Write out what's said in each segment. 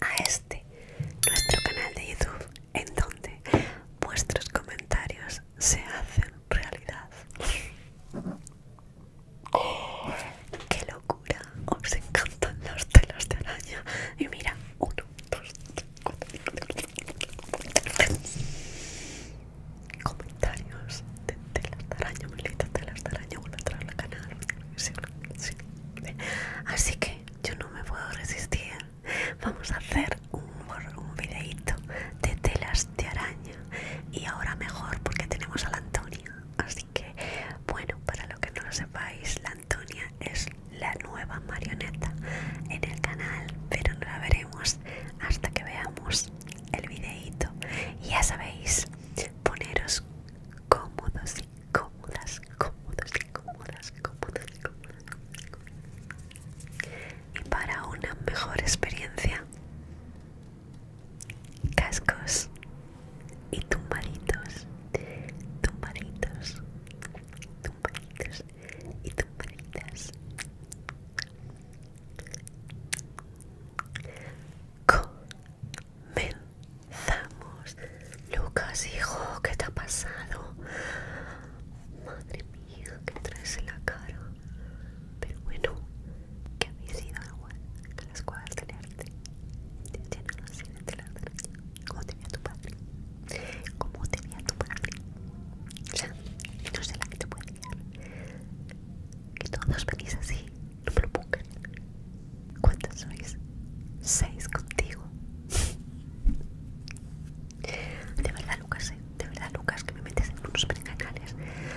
a este, nuestro canal de YouTube, en donde vuestros comentarios se hacen realidad. ¡Qué locura! Os encantan los telas de araña. Y mira, uno, dos, comentarios de telas de araña, Melita, telas de araña, canal. Así que yo no me puedo resistir. Vamos a hacer un, un videito de telas de araña. Y ahora mejor porque tenemos a la Antonia. Así que, bueno, para lo que no lo sepáis, la Antonia es la nueva marioneta en el canal. Pero no la veremos hasta que veamos el videito. Y ya sabéis, poneros cómodos cómodas, cómodas, cómodas, cómodas, cómodas. Y para una mejor experiencia, cascos y tumbaditos, tumbaditos, tumbaditos y tumbaditas. Comen. Vamos, Lucas, hijo, ¿qué te ha pasado? Madre mía, que traes en la cara. Pero bueno, que ido sido algo que las cuadras que arte te llenado así de la ¿Cómo te tu padre? como tenía tu padre? O sea, no sé la que te puede llevar. Que todos venís así, no me lo pongan. ¿Cuántas sois? Seis contigo. De verdad, Lucas, ¿eh? de verdad, Lucas, que me metes en unos berenjenales.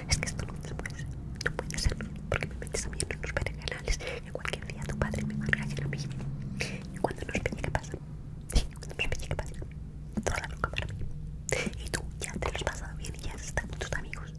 Es que esto no puede ser, no puede ser, porque me metes a mí en unos berenjenales. y cualquier día tu padre me marca y mí. mía. Y cuando nos pille, que pasa? Sí, cuando nos pille, que pasa? Toda la loca para mí. Y tú ya te lo has pasado bien y ya has estado con tus amigos.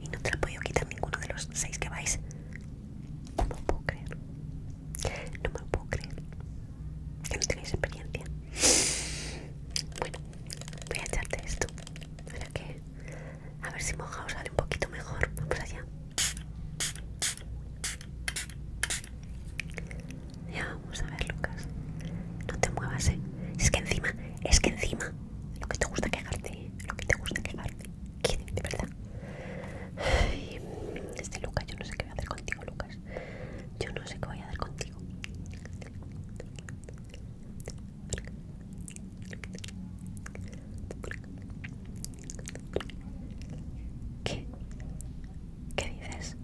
y no te la puedo quitar ninguno de los seis que vais. No puedo creer. No me puedo creer. Que no tenéis experiencia. Bueno, voy a echarte esto. Para que. A ver si moja sale un poquito mejor. Vamos allá. Ya, vamos a ver, Lucas. No te muevas, eh. Es que encima, es que encima lo que te gusta quejarte, lo que te gusta quejarte. ¿Quién? De verdad. este Lucas, yo no sé qué voy a hacer contigo, Lucas. Yo no sé qué voy a hacer contigo. ¿Qué? ¿Qué dices?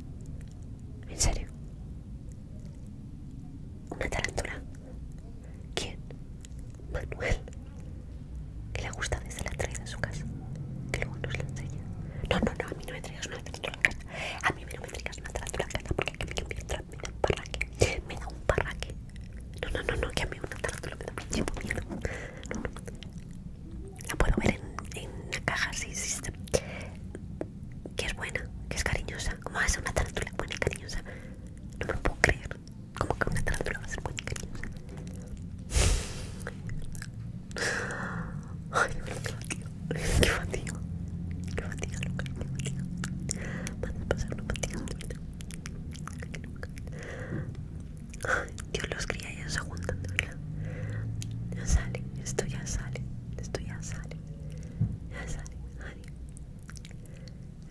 ¿En serio? ¿Una tarántula? ¿Quién? Manuel. Que le gusta desde la traída en su casa. Que luego nos la enseña. No, no, no, a mí no me traigas una tratura en casa. A mí no me traigas una tratura en casa porque aquí me, me da un parraque. Me da un parraque. No, no, no, no, que a mí una tratura me da un miedo. No, no. La puedo ver en, en una caja, si... sí. Que es buena, que es cariñosa, ¿Cómo va a ser una tarántula buena y cariñosa? No me lo puedo creer. ¿Cómo que una tarántula va a ser buena y cariñosa? Ay, qué fatiga. Qué fatiga. Qué fatiga, loca. Qué fatiga. Van a pasar una fatiga ahorita. Ay, Dios los cría y ellos juntando, verdad. Ya sale, esto ya sale, esto ya sale. Ya sale.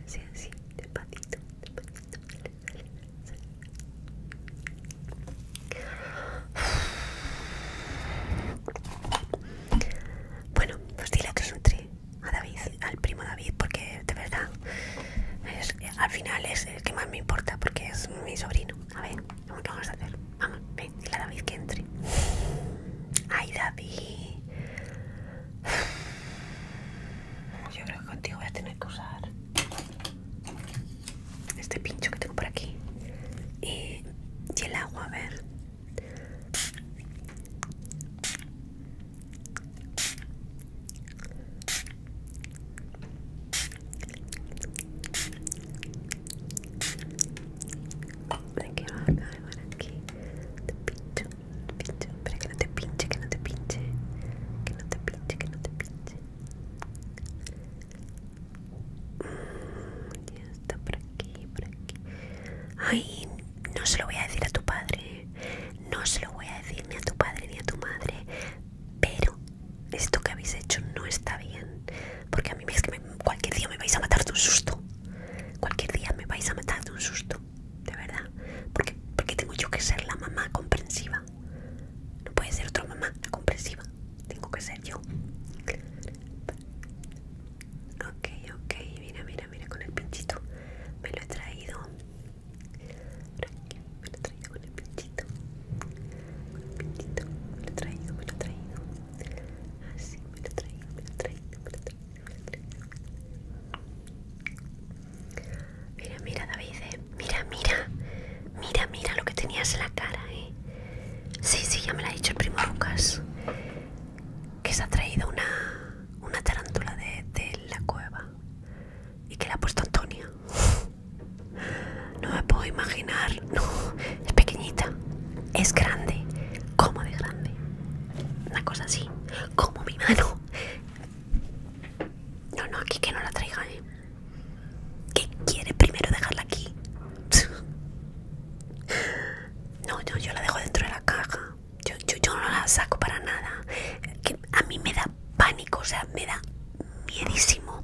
Así, así, despacito, Bueno, pues dile que entre a David, al primo David, porque de verdad al final es el que más me importa porque es mi sobrino. A ver, ¿qué vamos a hacer? Vamos, ven, la a David que entre. Ay, David. Yo creo que contigo voy a tener que usar este pincho que tengo por aquí. Y, eh, y el agua, a ver para que te pincho, te pincho, que no te pinche, que no te pinche, que no te pinche, que te pinche. Mm, está por aquí, por Ay, no se lo voy a decir a tu padre, no se lo voy a decir ni a tu padre ni a tu madre, pero esto que habéis hecho no está bien, porque a mí es que cualquier día me vais a matar de un susto. Cualquier día me vais a matar de un susto, de verdad. Porque, porque tengo yo que ser la mamá comprensiva. No puede ser otra mamá comprensiva. Tengo que ser yo. Ok, ok. Mira, mira, mira con el pinchito. Me lo he traído. Me lo he traído Con el pinchito. Me lo he traído, me lo he traído. Así, Mira, mira, David, eh. mira, mira, mira, mira lo que tenías en la cara, eh. Sí, sí, ya me lo ha dicho el primo Lucas, que se ha traído una, tarántula de, de la cueva y que la ha puesto Antonia. No me puedo imaginar. No, es pequeñita. Es grande. como de grande? Una cosa así. Como mi mano. No, no, aquí que no la traiga, ¿eh? ¿Qué quiere primero dejarla aquí? No, yo la dejo dentro de la caja. Yo, yo, no la saco para nada. a mí me da pánico, o sea, me da miedísimo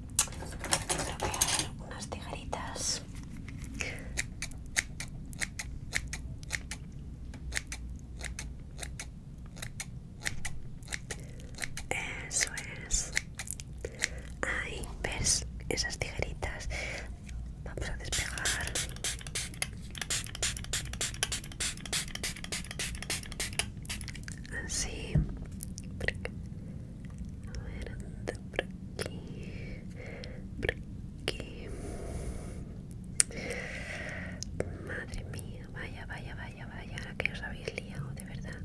Creo que hay unas tijeritas. Eso es. Ahí, ¿ves? Esas tijeritas. Vamos a despegar así aquí aquí madre mía vaya vaya vaya vaya ahora que os habéis liado de verdad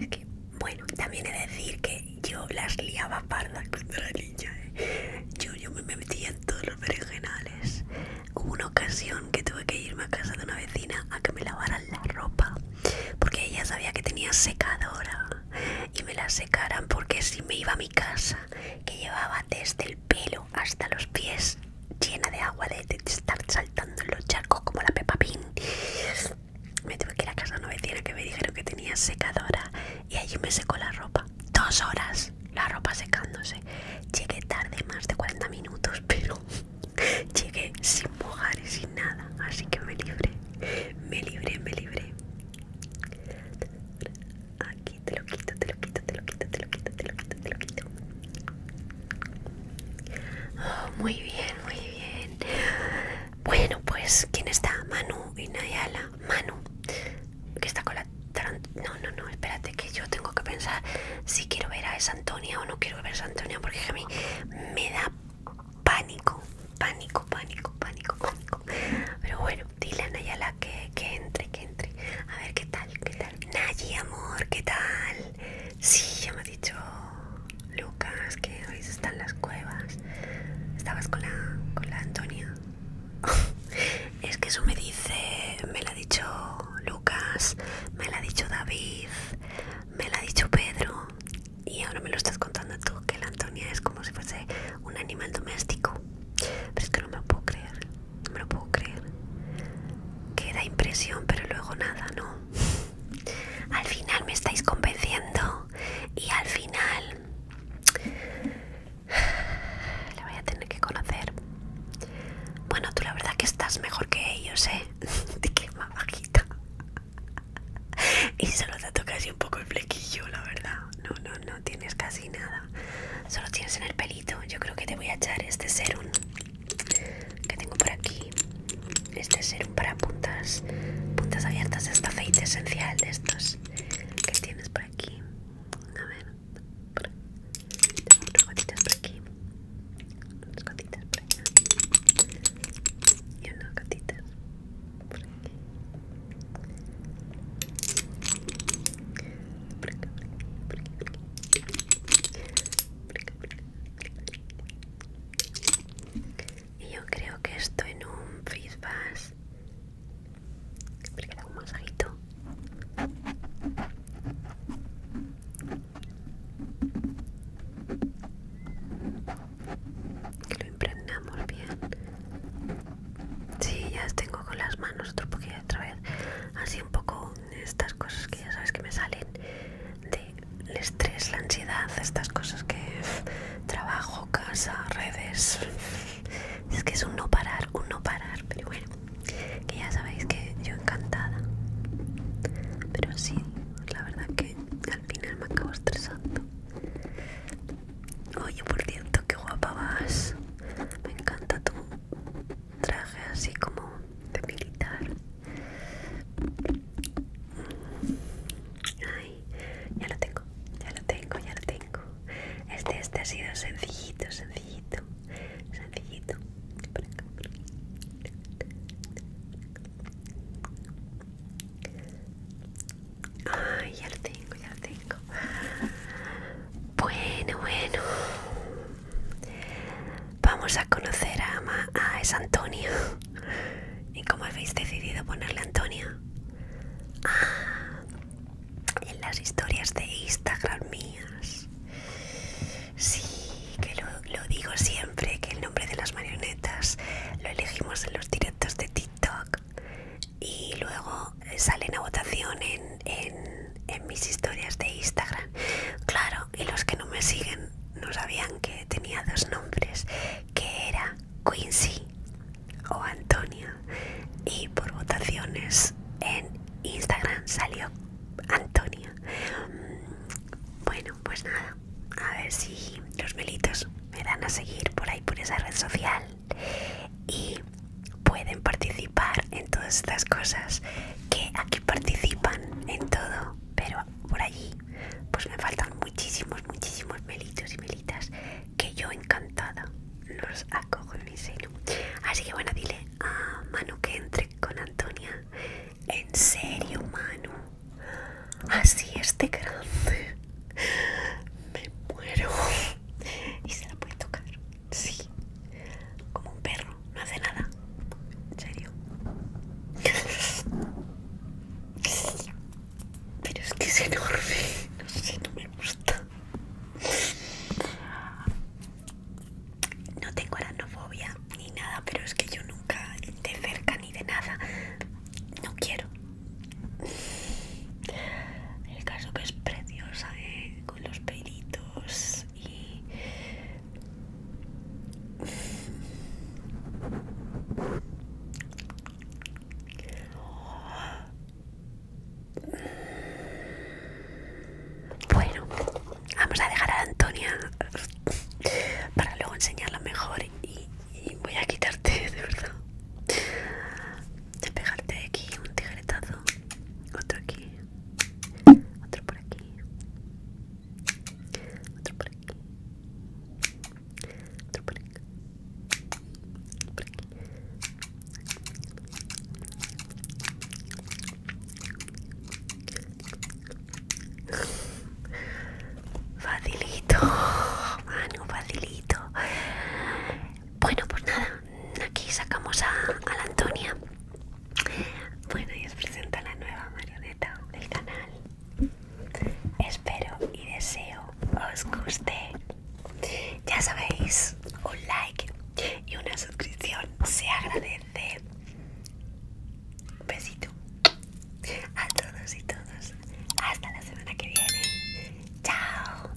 es que bueno también he de decir que yo las liaba pardas cuando era niña ¿eh? yo yo me metía en todos los perejenales hubo una ocasión que tuve que irme a casa de una a que me lavaran la ropa porque ella sabía que tenía secadora y me la secaran porque si me iba a mi casa que llevaba desde el pelo hasta los pies llena de agua de, estar saltando en los charcos como la pepa pin me tuve que ir a casa una vecina que me dijeron que tenía secadora y allí me secó la ropa dos horas la ropa secándose llegué tarde más de 40 minutos pero Llegué sin mojar y sin nada, así que me libre, me libre, me libre, Aquí te lo quito, te lo quito, te lo quito, te lo quito, te lo quito, te lo quito. Oh, muy bien, muy bien. Bueno, pues, ¿quién está? Manu y Nayala. Manu, que está con la... No, no, no, espérate, yo tengo que pensar si quiero ver a esa Antonia o no quiero ver a esa Antonia porque a mí me da pánico, pánico, pánico, pánico, pánico. Pero bueno, dile a Nayala que, entre, que entre. A ver qué tal, qué tal. Nayi, amor, ¿qué tal? Sí, ya me ha dicho Lucas que hoy están las cuevas. Estabas con la, con la Antonia. es que eso me dice, me lo ha dicho Lucas, me lo ha dicho David, me lo ha dicho Pedro y ahora me lo estás contando tú, que la Antonia es como si fuese un animal doméstico. Pero es que no me lo puedo creer, no me lo puedo creer. Queda impresión, pero luego nada, ¿no? Al final me estáis convenciendo y al final... La voy a tener que conocer. Bueno, tú la verdad que estás mejor que ellos, ¿eh? Te más bajita. Y solo te toca casi un poco el flequillo, la verdad. No, no, no tienes casi nada. Solo tienes en el pelito. Yo creo que te voy a echar este serum que tengo por aquí. Este serum para puntas, puntas abiertas. Este aceite esencial de estos que tienes por aquí. A ver. Por aquí. Tengo unas gotitas por aquí. Unas gotitas por allá. Y unas gotitas por aquí. Por acá, por aquí, por aquí, por acá, por aquí Y yo creo que esto en un face bass. Porque da un masajito que lo impregnamos bien Sí, ya tengo con las manos otro poquito otra vez así un poco estas cosas que ya sabes que me salen del estrés, la ansiedad, estas cosas que trabajo, casa, redes es que es un no parar, un no parar, pero bueno que ya sabéis que yo encantada pero sí la verdad que al final me acabo estresando oye por cierto que guapa vas me encanta tu traje así como de militar ay ya lo tengo ya lo tengo ya lo tengo este este ha sido sencillito sencillo sencillito, sencillito. Por acá, por acá. ya lo tengo, ya lo tengo. Bueno, bueno. Vamos a conocer a, Ma a es Antonia. ¿Y cómo habéis decidido ponerle Antonia? Ah, en las historias de Instagram mías. Sí, que lo, digo siempre, que el nombre de las marionetas lo elegimos en los directos de TikTok y luego salen a votación en, en, mis historias de Instagram. Claro, y los que no me siguen no sabían que tenía dos nombres, que era Quincy o Antonia y por votaciones en Instagram salió Antonia. Mm, bueno, pues nada, a ver si los melitos me dan a seguir por ahí, por esa red social y pueden participar en todas estas cosas que aquí participan en todo, pero por allí pues me faltan muchísimos, muchísimos melitos y melitas que yo encantada los acojo en mi seno. Así que bueno, dile a Manu que entre con Antonia. En serio, Manu. Así este de grande. Me muero. Y se la puede tocar. Sí. Como un perro. No hace nada. En serio. Pero es que es enorme. No sé, no me gusta. No tengo aranofobia ni nada, pero es que yo nunca de cerca ni de nada. No quiero. El caso que es preciosa, ¿eh? con los pelitos y... Bueno, vamos a dejar a Antonia para luego enseñarla mejor y, voy a quitarte, de verdad. De pegarte aquí un tijeretazo otro aquí, otro por aquí, otro por aquí, otro por aquí, Facilito, mano, facilito. Bueno, pues nada, aquí sacamos a, la Antonia. Bueno, y os presento la nueva marioneta del canal. Espero y deseo os guste. Ya sabéis, un like y una suscripción se agradece. Besito a todos y todas Hasta la semana que viene. Chao.